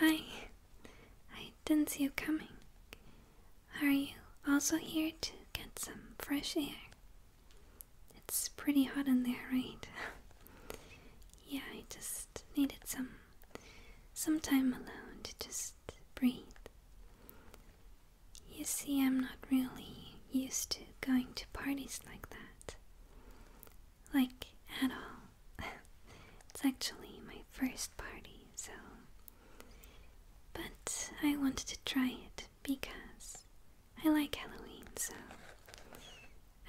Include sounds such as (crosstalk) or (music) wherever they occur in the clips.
Hi. I didn't see you coming. Are you also here to get some fresh air? It's pretty hot in there, right? (laughs) yeah, I just needed some some time alone to just breathe. You see, I'm not really used to going to parties like that. Like, at all. (laughs) it's actually my first party, so. But I wanted to try it because I like Halloween, so.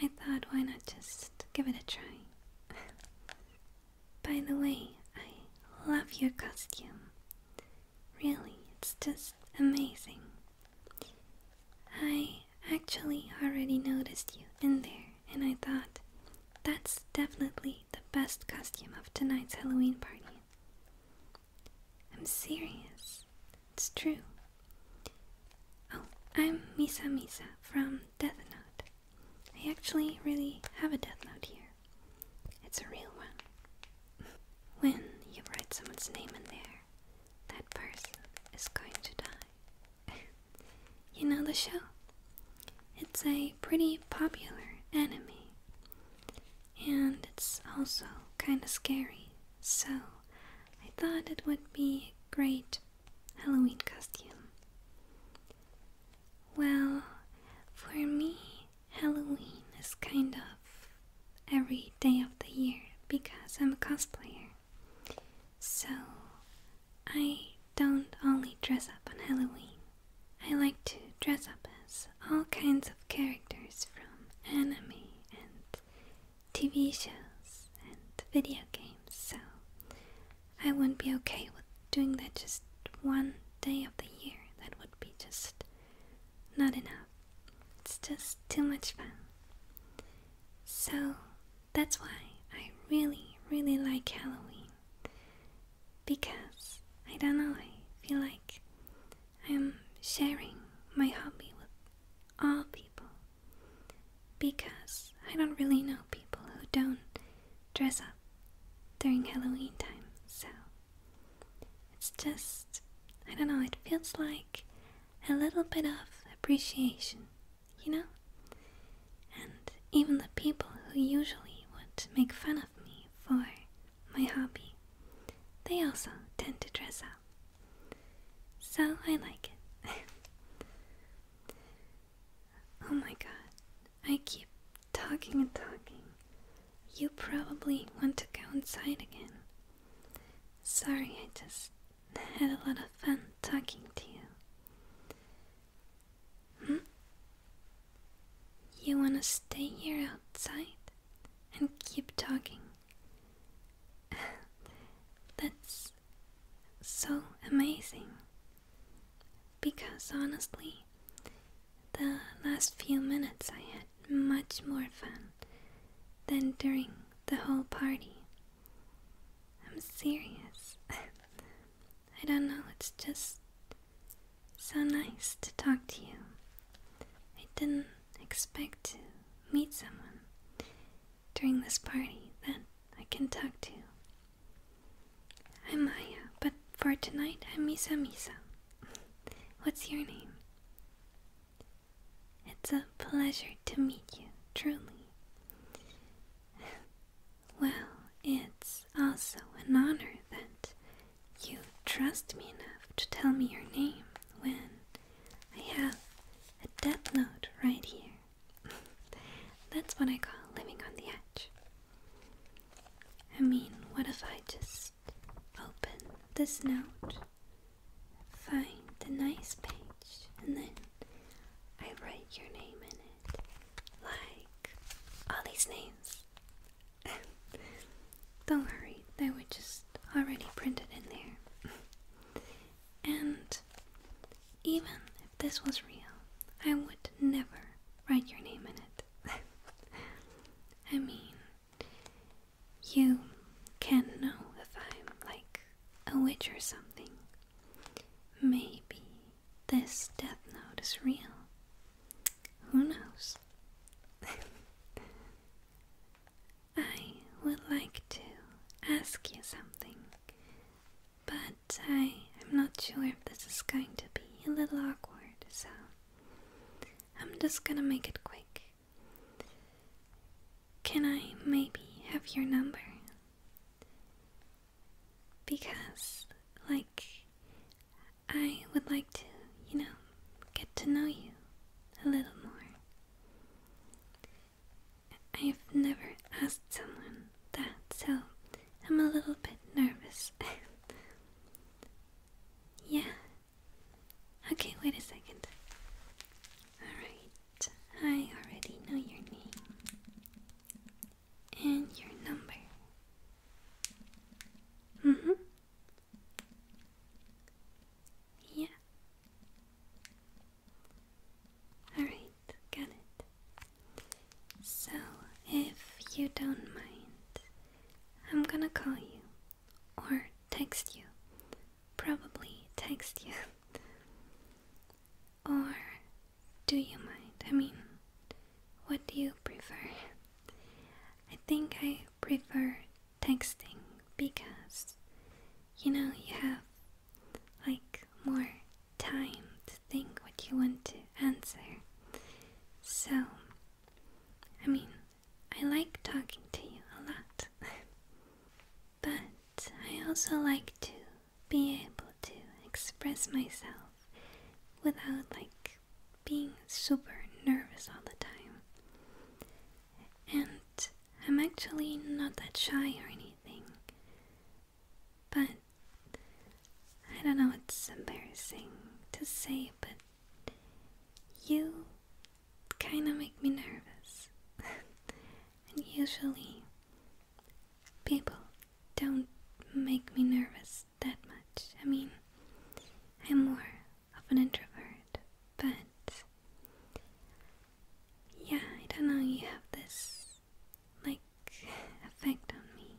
I thought, why not just give it a try? (laughs) By the way, I love your costume. Really, it's just amazing. I actually already noticed you in there, and I thought that's definitely the best costume of tonight's Halloween party. I'm serious. It's true. Oh, I'm Misa Misa from Death Note. I actually really have a Death Note here. It's a real one. When you write someone's name in there, that person is going to die. (laughs) you know the show? It's a pretty popular anime. And it's also kind of scary, so I thought it would be a great Halloween costume. Well, for me, Halloween is kind of every day of the year because I'm a cosplayer. So I don't only dress up on Halloween. I like to dress up as all kinds of characters from anime and TV shows and video games. So I wouldn't be okay with doing that just one day of the year. That would be just not enough. It's just too much fun. So that's why I really, really like Halloween. Because I don't know, I feel like I'm sharing my hobby with all people. Because I don't really know people who don't dress up during Halloween time, so it's just, I don't know, it feels like a little bit of appreciation, you know? And even the people who usually would make fun of me for my hobby, they also tend to dress up. So I like it. (laughs) Oh my god, I keep talking and talking. You probably want to go inside again. Sorry, I just had a lot of fun talking to you. Hmm? You want to stay here outside and keep talking? (laughs) That's so amazing. Because honestly, the last few minutes I had much more fun than during the whole party. I'm serious. (laughs) I don't know, it's just so nice to talk to you. I didn't expect to meet someone during this party that I can talk to. I'm Maya, but for tonight I'm Misa Misa. What's your name? It's a pleasure to meet you, truly. Well, it's also an honor that you trust me enough to tell me your name when I have a death note right here. That's what I call living on the edge. I mean, what if I just open this note, find the nice page, and then I write your name in it? Like all these names. (laughs) Don't worry, they were just already printed in there. (laughs) and even if this was real, I would never write your name in it. (laughs) I mean, you can know if I'm like a witch or something. Maybe this death note is real. Who knows? (laughs) I would like to ask you something but I am not sure if this is going to be a little awkward, so I'm just gonna make it quick. Can I maybe have your number? Because, like, I would like to, you know, get to know you a little more. I've never asked someone that, so I'm a little bit nervous. (laughs) yeah. Okay, wait a second. Alright, I already know your name and your number. Mm hmm. Yeah. Alright, got it. So, if you don't mind, I'm gonna call you or text you. Probably text you. (laughs) or do you mind? I mean, what do you prefer? I think I prefer texting because you know you have like more time to think what you want to answer. So, I mean, I like talking to you a lot, (laughs) but I also like to be able to express myself without like being super nervous all the time. And I'm actually not that shy or anything. But I don't know, it's embarrassing to say, but you kind of make me nervous. (laughs) and usually, people don't make me nervous that much. I mean, I'm more of an introvert, but yeah, I don't know, you have this, like, (laughs) effect on me.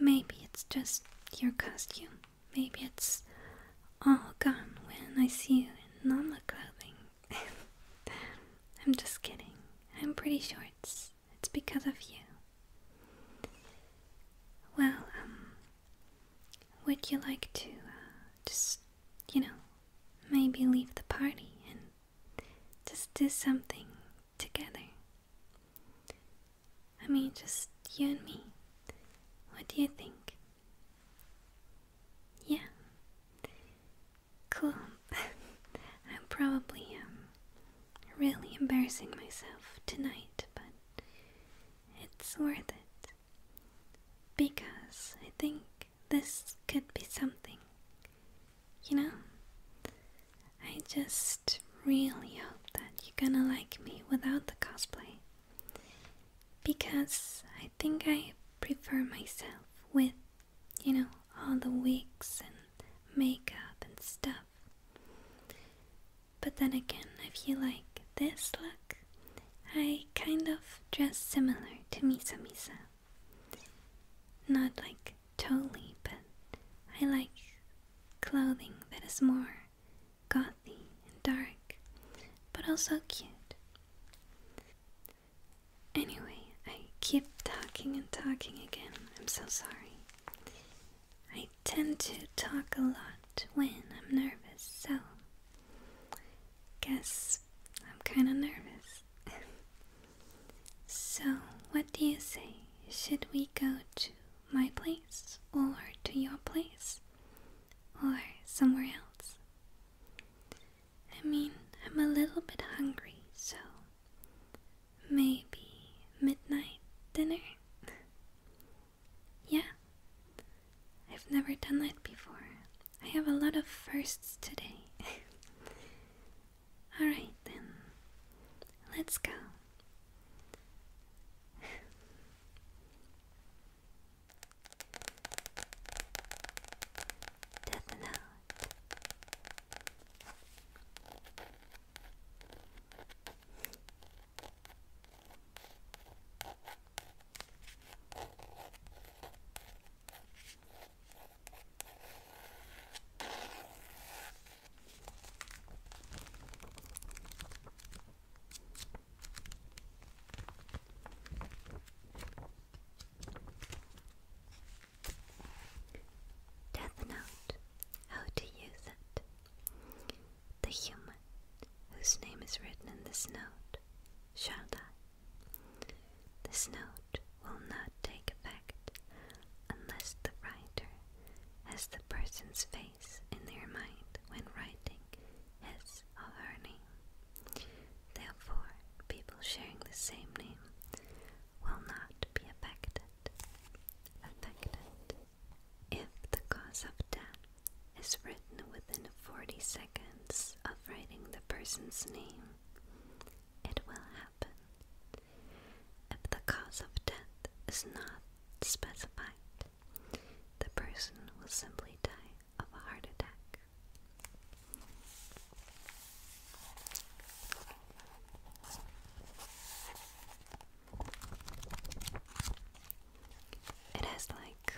Maybe it's just your costume. Maybe it's all gone when I see you in normal clothing. (laughs) I'm just kidding. I'm pretty sure it's, it's because of you. Well, um, would you like to uh, just, you know, maybe leave the party and just do something together. I mean, just you and me. What do you think? Yeah. Cool. (laughs) I'm probably um, really embarrassing myself tonight, but it's worth it. Because I think this could be something. You know? I just really hope that you're gonna like me without the cosplay. Because I think I prefer myself with, you know, all the wigs and makeup and stuff. But then again, if you like this look I kind of dress similar to Misa Misa. Not like totally, but I like clothing that is more gothy and dark, but also cute. Anyway, I keep talking and talking again. I'm so sorry. I tend to talk a lot when I'm nervous, so guess I'm kind of nervous. (laughs) so, what do you say? Should we go to my place, or to your place, or somewhere else? I mean, I'm a little bit hungry, so maybe midnight dinner? (laughs) yeah, I've never done that before. I have a lot of firsts today. (laughs) Alright then, let's go. (sighs) Death Note. Death Note How to Use It. The human, whose name is written in this note, Shall Sharda. This note will not take effect unless the writer has the person's face in their mind when writing his or her name. Therefore, people sharing the same name will not be affected. Affected. If the cause of death is written within 40 seconds of writing the person's name, it will happen. If the cause of death is not specified, the person will simply die of a heart attack. It has like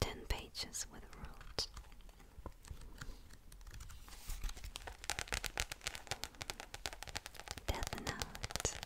10 pages with rules. Death Note.